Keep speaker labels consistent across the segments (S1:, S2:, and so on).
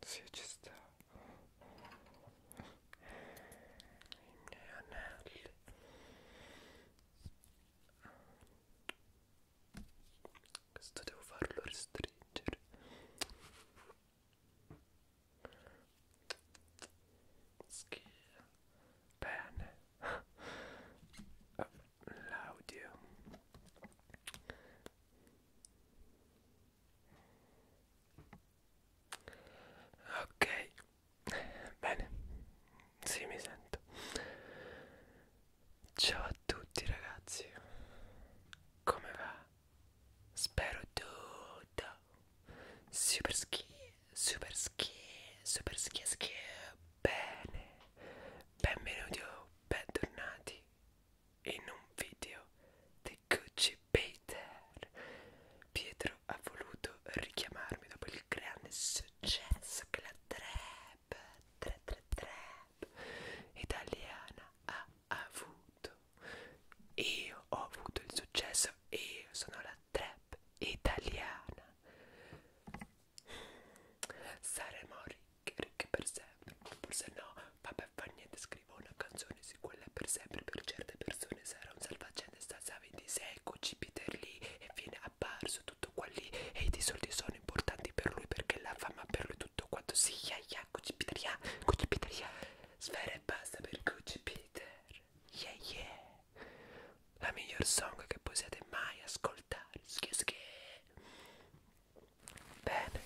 S1: Sì, ci sta. I miei anelli. Questo devo farlo restringere. Schia. Bene. L'audio ok bene sì mi sento ciao a tutti ragazzi come va spero tutto super ski super ski super ski ski bene benvenuti o bentornati in un video di grande Gucci Peter. Pietro ha voluto richiamarmi dopo il grande successo che la trap, tra trap italiana ha avuto. Io ho avuto il successo, io sono la trap italiana. Saremo ricche, ricche per sempre, forse no, vabbè per far niente scrivo una canzone su quella per sempre per certe persone sarà un salvagente stanza 26 ecco Jupiter lì e viene apparso tutto qua lì e i soldi sono importanti per lui perché la fama per lui tutto quanto si sì, ya ya Jupiter ya Jupiter ya sfera e basta per Jupiter yeah yeah la miglior song che possiate mai ascoltare schie schie Bene,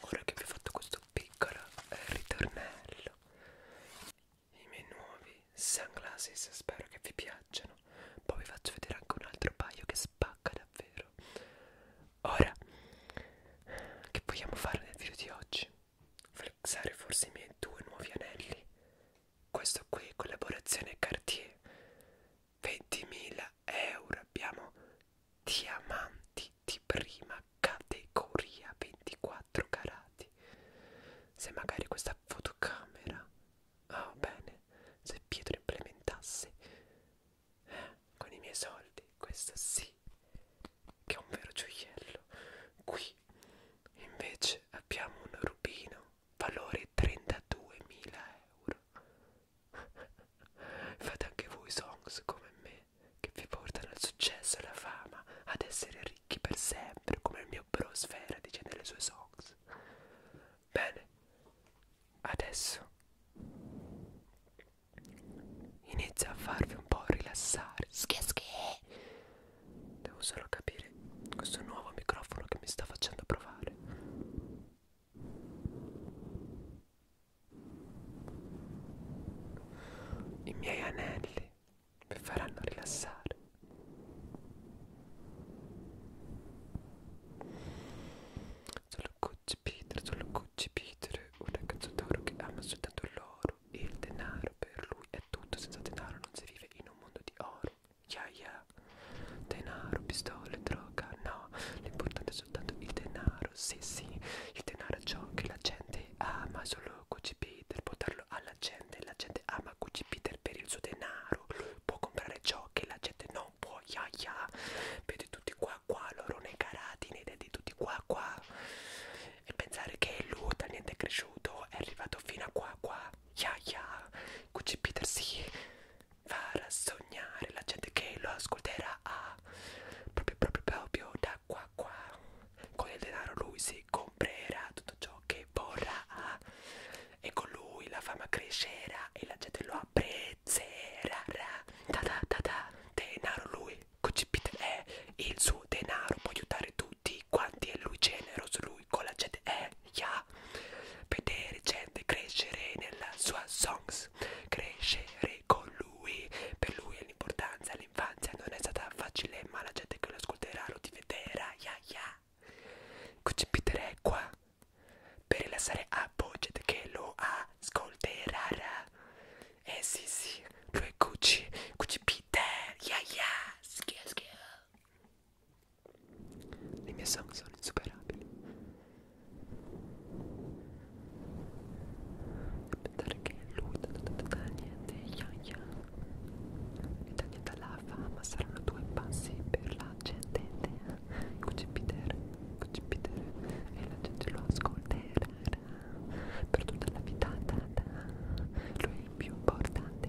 S1: ora che vi ho fatto questo piccolo eh, ritornello, i miei nuovi sunglasses spero che vi piacciono. Poi vi faccio vedere anche un altro paio che spacca davvero. Ora, che vogliamo fare nel video di oggi? Flexare forse i miei due nuovi anelli. Questo qui, collaborazione Cartier. 20.000 euro abbiamo diamanti di prima categoria 24 carati se magari questa fotocamera oh bene se Pietro implementasse eh, con i miei soldi questo sì che è un vero gioiello qui invece abbiamo un rubino valore 32.000 euro fate anche voi songs come me che vi portano al successo e alla fama, ad essere ricchi per sempre, come il mio bro Sfera dice nelle sue songs. Bene, adesso inizia a farvi un po' rilassare. Scheschi! Devo solo capire questo nuovo microfono che mi sta facendo provare. I miei anelli mi faranno rilassare. Sono Gucci Peter, sono Gucci Peter, un ragazzo d'oro che ama soltanto l'oro e il denaro. Per lui è tutto, senza denaro non si vive in un mondo di oro. Ya yeah, ya, yeah. denaro, pistole, droga, no. L'importante soltanto il denaro, sì sì, il denaro è ciò che la gente ama, solo Gucci Peter può darlo alla gente, la gente ama Gucci Peter per il suo denaro, può comprare ciò che la gente non può, ya ya, vedi tutti qua qua, loro nei carati, nei denti tutti qua qua, e pensare che lui da niente è cresciuto, è arrivato fino a qua qua, ya ya, Gucci Peter si sì, farà sognare la gente che lo ascolterà a proprio proprio proprio da qua qua con il denaro lui si comprerà tutto ciò che vorrà e con lui la fama crescerà e la gente lo apprezzerà da da da da denaro lui Cocipite è il suo denaro può aiutare tutti quanti e lui generoso lui con la gente è ya yeah. vedere gente crescere nella sua songs Max crescere con lui per lui l'importanza l'infanzia non è stata facile ma la gente che lo ascolterà lo diventerà ya ya concepiterei qua per rilassare a gente che lo ascolterà eh sì sì lui cuci cuci Peter ya ya schia schia le mie song sono insuperabili perché lui niente yan yan Italiata la fama saranno due passi per la gente eh. Cucipiter, cucipiter E la gente lo ascolterà per tutta la vita Lui è il più importante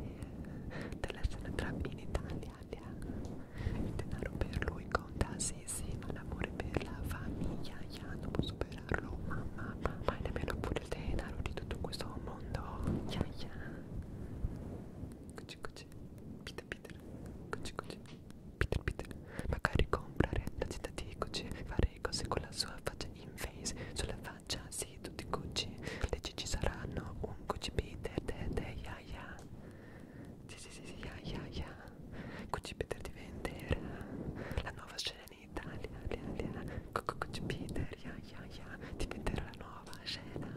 S1: della scena trap in Italia Il denaro per lui conta sì sì ma l'amore per la famiglia yeah, Non può superare comprarlo mamma mamma e nemmeno pure il denaro di tutto questo mondo yeah, yeah. Cucci, cucci. Peter Peter cucci, cucci. Peter Peter magari comprare la città di Gucci fare cose con la sua faccia in face sulla faccia sì tutti Gucci le ci saranno un Gucci Peter de de ya ya sì sì sì ya ya ya Gucci Peter di vendere la nuova scena in Italia, Italia, Coco Peter, ya ya ya, diventerà la nuova scena,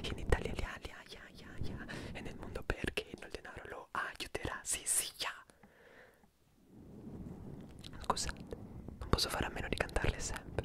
S1: in Italia, Italia, ya ya ya, e nel mondo perché il denaro lo aiuterà, sì sì ya. Scusate, non posso fare a meno di cantarle sempre.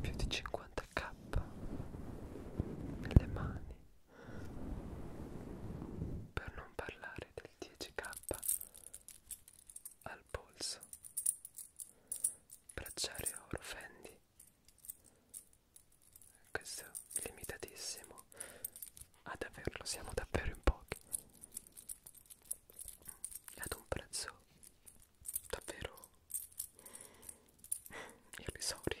S1: più di 50k nelle mani per non parlare del 10k al polso bracciario oro fendi questo limitatissimo ad ah, averlo siamo davvero in pochi ad un prezzo davvero irrisorio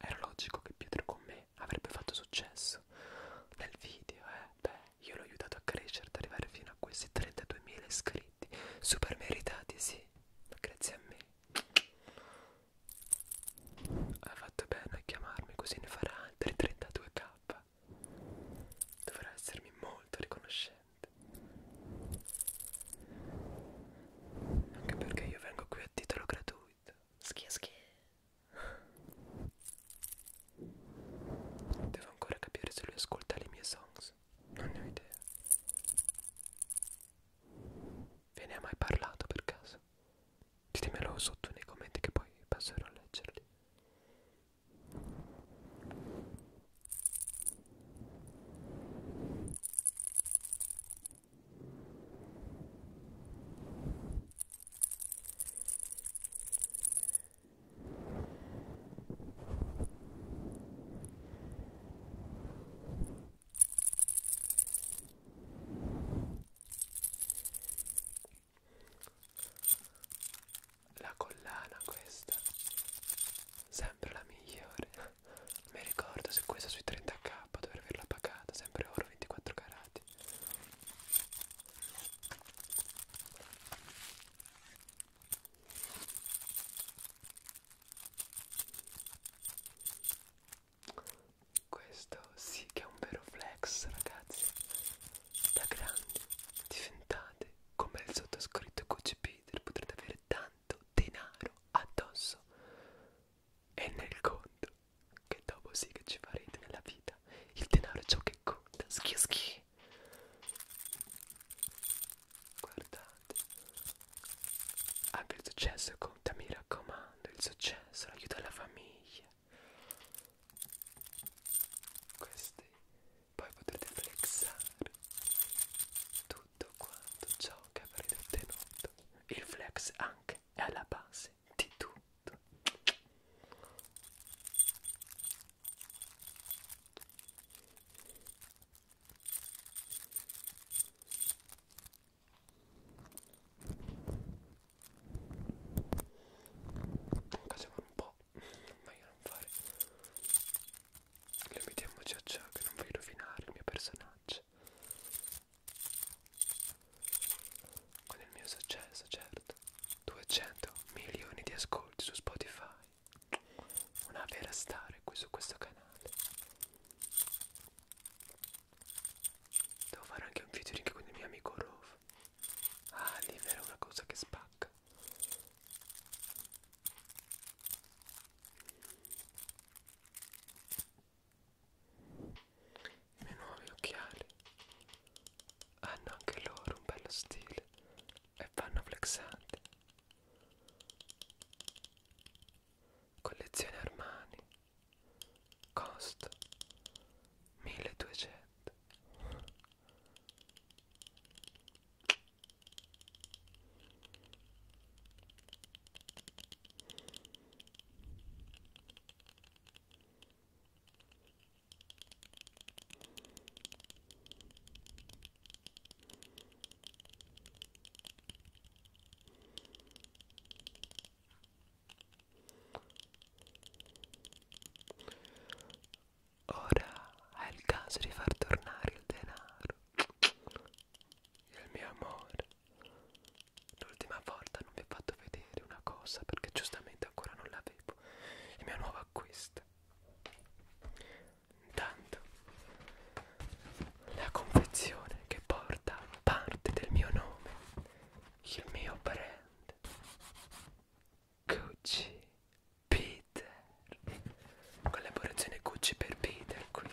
S1: Era logico che Pietro con me avrebbe fatto successo nel video, eh? Beh, io l'ho aiutato a crescere, ad arrivare fino a questi 32.000 iscritti, super meritati, sì, ma grazie a me. Hai fatto bene a chiamarmi, così ne farà altri 32k. Dovrà essermi molto riconoscente. Anche perché io vengo qui a titolo gratuito. Schia schia. Devo ancora capire se lui ascolta le mie songs. Non ne ho idea. Ve ne ha mai parlato per caso? Ditemelo sotto nei commenti che poi passerò a leggerli. La collana questa, sempre la migliore mi ricordo se questa sui 30k dovrei averla pagata sempre oro 24 carati questo sì che è un vero flex ragazzi da grandi diventate come il sottoscritto QCP potrete avere tanto denaro addosso e nel conto che dopo sì che ci farete nella vita il denaro è ciò che conta schi schi guardate anche il successo conta mi raccomando il successo l'aiuto alla famiglia questi poi potete flexare tutto tutto quanto ciò che avrete ottenuto. Il flex anche è alla base di tutto. Comunque sembra un po', ma io non fare. Limitiamoci a ciò che non voglio rovinare il mio personaggio. Con il mio successo, certo. 200 milioni di ascolti su Spotify. Una vera star qui su questo canale. Devo fare anche un featuring con il mio amico Rove. Ah, libera una cosa che spacca. I miei nuovi occhiali hanno anche loro un bello stile e vanno flexanti. Collezione Armani, costo 1200. Ora è il caso di far tornare il denaro, il mio amore. L'ultima volta non vi ho fatto vedere una cosa perché giustamente ancora non l'avevo. Il mio nuovo acquisto. Intanto la confezione che porta parte del mio nome, il mio brand Gucci Peter. Collaborazione Gucci per Peter qui.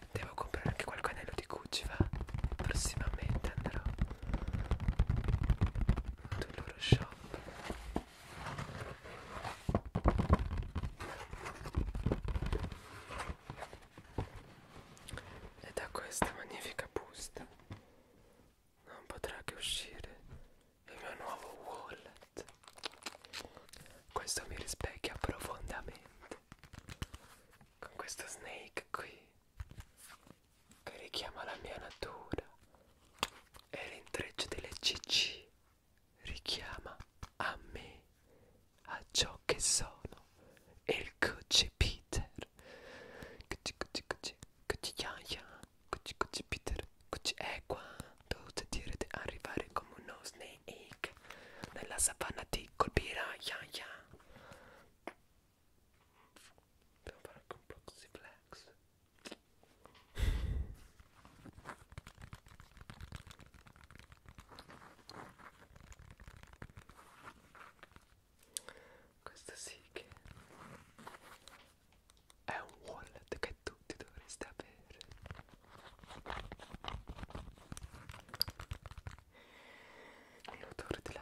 S1: Devo comprare anche qualche anello di Gucci, va? Prossimamente andrò sul loro shop. E da questa magnifica busta non potrà che uscire il mio nuovo wallet. Questo mi rispecchia profondamente. Con questo snake qui che richiama la mia natura e l'intreccio delle cc richiama a me a ciò che sono e il coach Peter coach coach coach coach yaya coach coach Peter coach è qua dovete dire di arrivare come uno snake nella savana ti colpirà yaya Dobbiamo fare anche un po' così flex questo sì che è un wallet che tutti dovreste avere L'odore della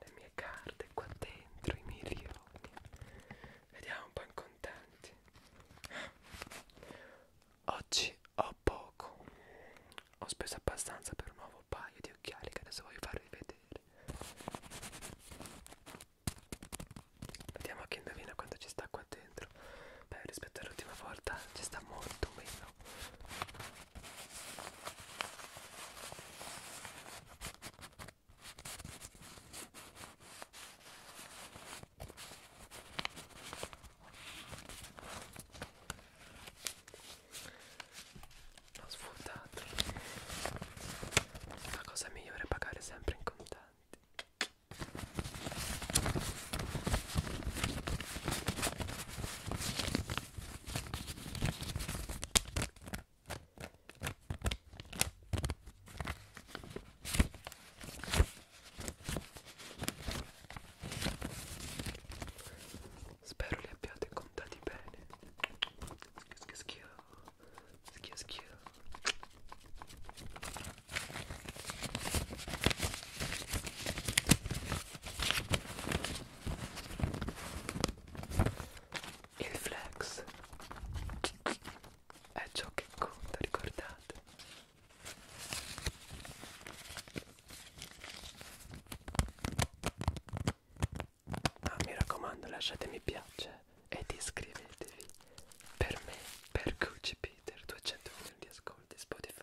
S1: le mie carte qua dentro i milioni vediamo un po' in contanti oggi ho poco ho speso abbastanza per un nuovo paio di occhiali che adesso voglio farvi vedere Vediamo chi indovina quanto ci sta qua dentro. Beh, rispetto all'ultima volta ci sta molto meno. L'ho sfruttato. La cosa migliore è pagare sempre in contanti. Spero li abbiate contati bene. Schio, schio, schio. Il flex è ciò che conta, ricordate? Ah, mi raccomando, lasciate mi piace ed iscrivetevi per me, per Gucci Peter, 200 milioni di ascolti Spotify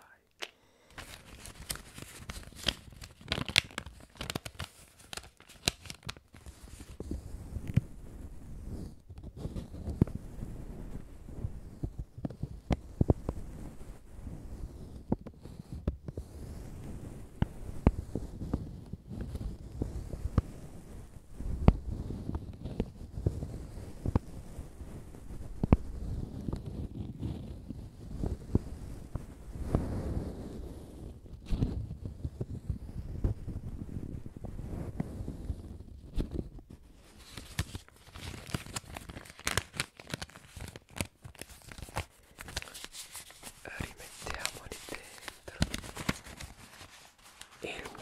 S1: rimettiamoli dentro il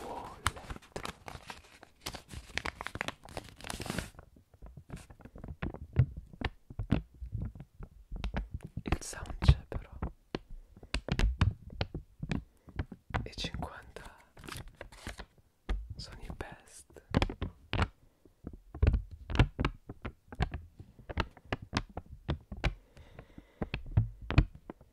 S1: wallet il sound c'è però e 50 sono i best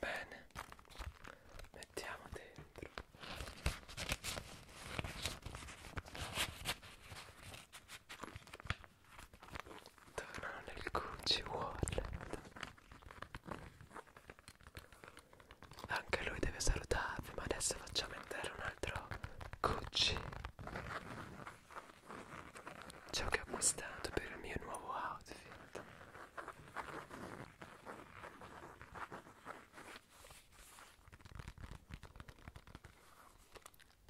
S1: Bene, mettiamo dentro. Tornano nel Gucci Wallet. Anche lui deve salutarvi, ma adesso facciamo entrare un altro Gucci. Ciò che ho acquistato per il mio nuovo outfit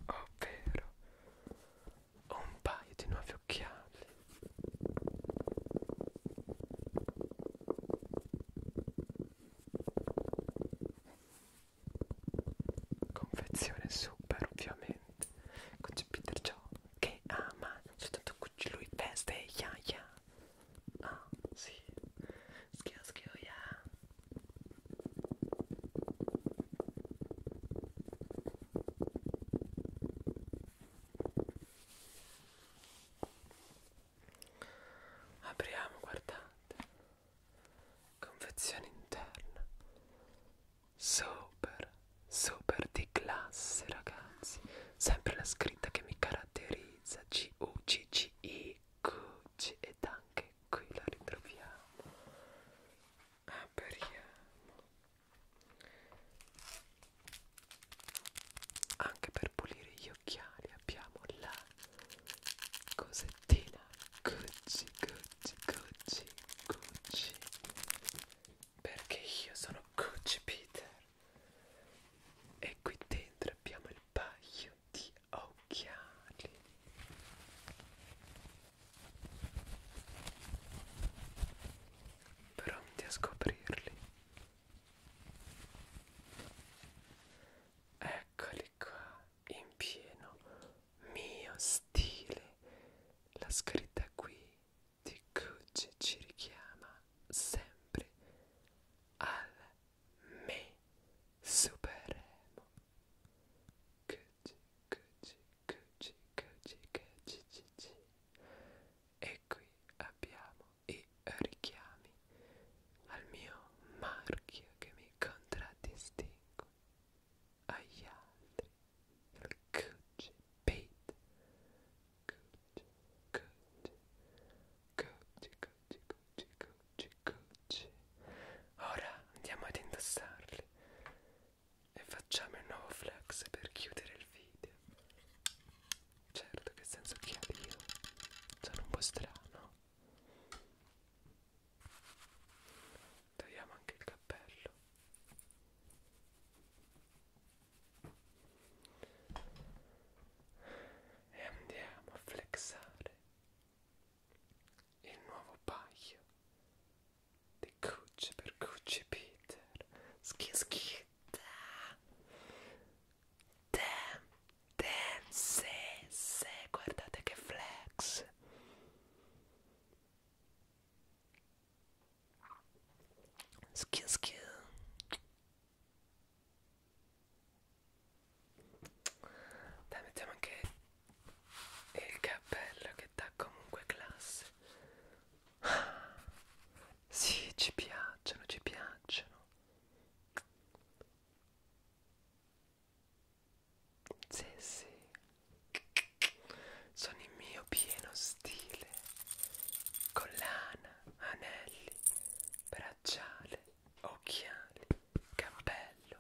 S1: ovvero un paio di nuovi occhiali confezione super ovviamente con Jupiter Jones che ama soltanto lui veste ya yeah, ya yeah. ah sì schio schio ya yeah. apriamo guardate confezione interna super super di classe ragazzi sempre la scritta che mi caratterizza c u c c i q c ed anche qui la ritroviamo apriamo ah, anche per pulire gli occhiali abbiamo la cosettina Gucci Gucci Gucci Gucci perché io sono Gucci Peter e qui dentro abbiamo il paio di occhiali pronti a scoprirli eccoli qua in pieno mio stile la scritta qui di Gucci ci richiama sempre al me supremo. Gucci, Gucci, Gucci, Gucci, Gucci, Gucci. E qui abbiamo i richiami al mio marchio che mi contraddistingue agli altri. Il Gucci Pete Gucci, Gucci, Gucci, Gucci. Ora andiamo ad indossarli e facciamo il nuovo flex per chiudere il video. Certo che senza occhiali io sono un po' strano. Togliamo anche il cappello e andiamo a flexare il nuovo paio di Gucci per Gucci Peter schi schi da damn se se guardate che flex Skia skia. Dai, mettiamo anche il cappello che dà comunque classe. Sì, ci piacciono, ci piacciono. Sì, sì. Sono in mio pieno stile. Collana anelli, bracciale, occhiali, cappello,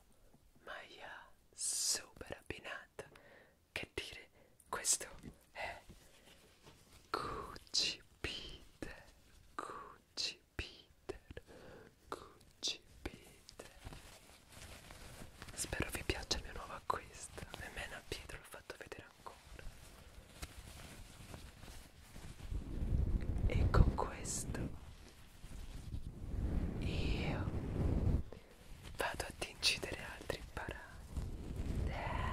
S1: maglia super abbinata. Che dire, questo è Gucci Peter, Gucci Peter, Gucci Peter. Spero vi piaccia il mio nuovo acquisto. Nemmeno a Pietro l'ho fatto vedere ancora e con questo io vado ad incidere altri paragni eh.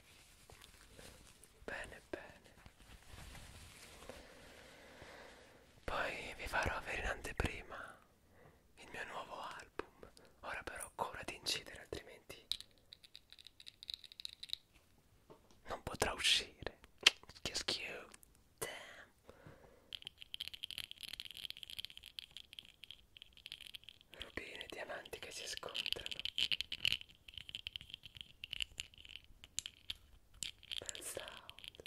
S1: bene bene poi vi farò avere in anteprima il mio nuovo album ora però cura di incidere altrimenti non potrà uscire che schifo damn rubine e diamanti che si scontrano bel sound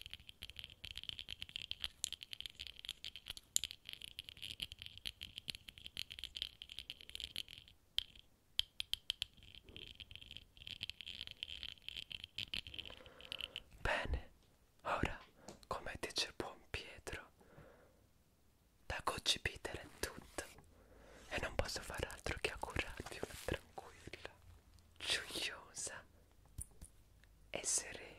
S1: Bene, ora come dice il buon Pietro, da Coach Peter è tutto e non posso fare altro che augurarti una tranquilla, gioiosa e serena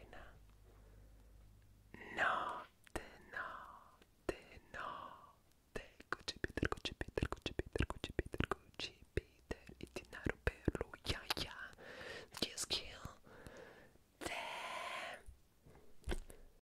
S1: notte, notte, notte Coach Peter, Coach Peter, Coach Peter, Coach Peter, Coach Peter il denaro per lui, ya yeah, ya yeah. skill skill Damn.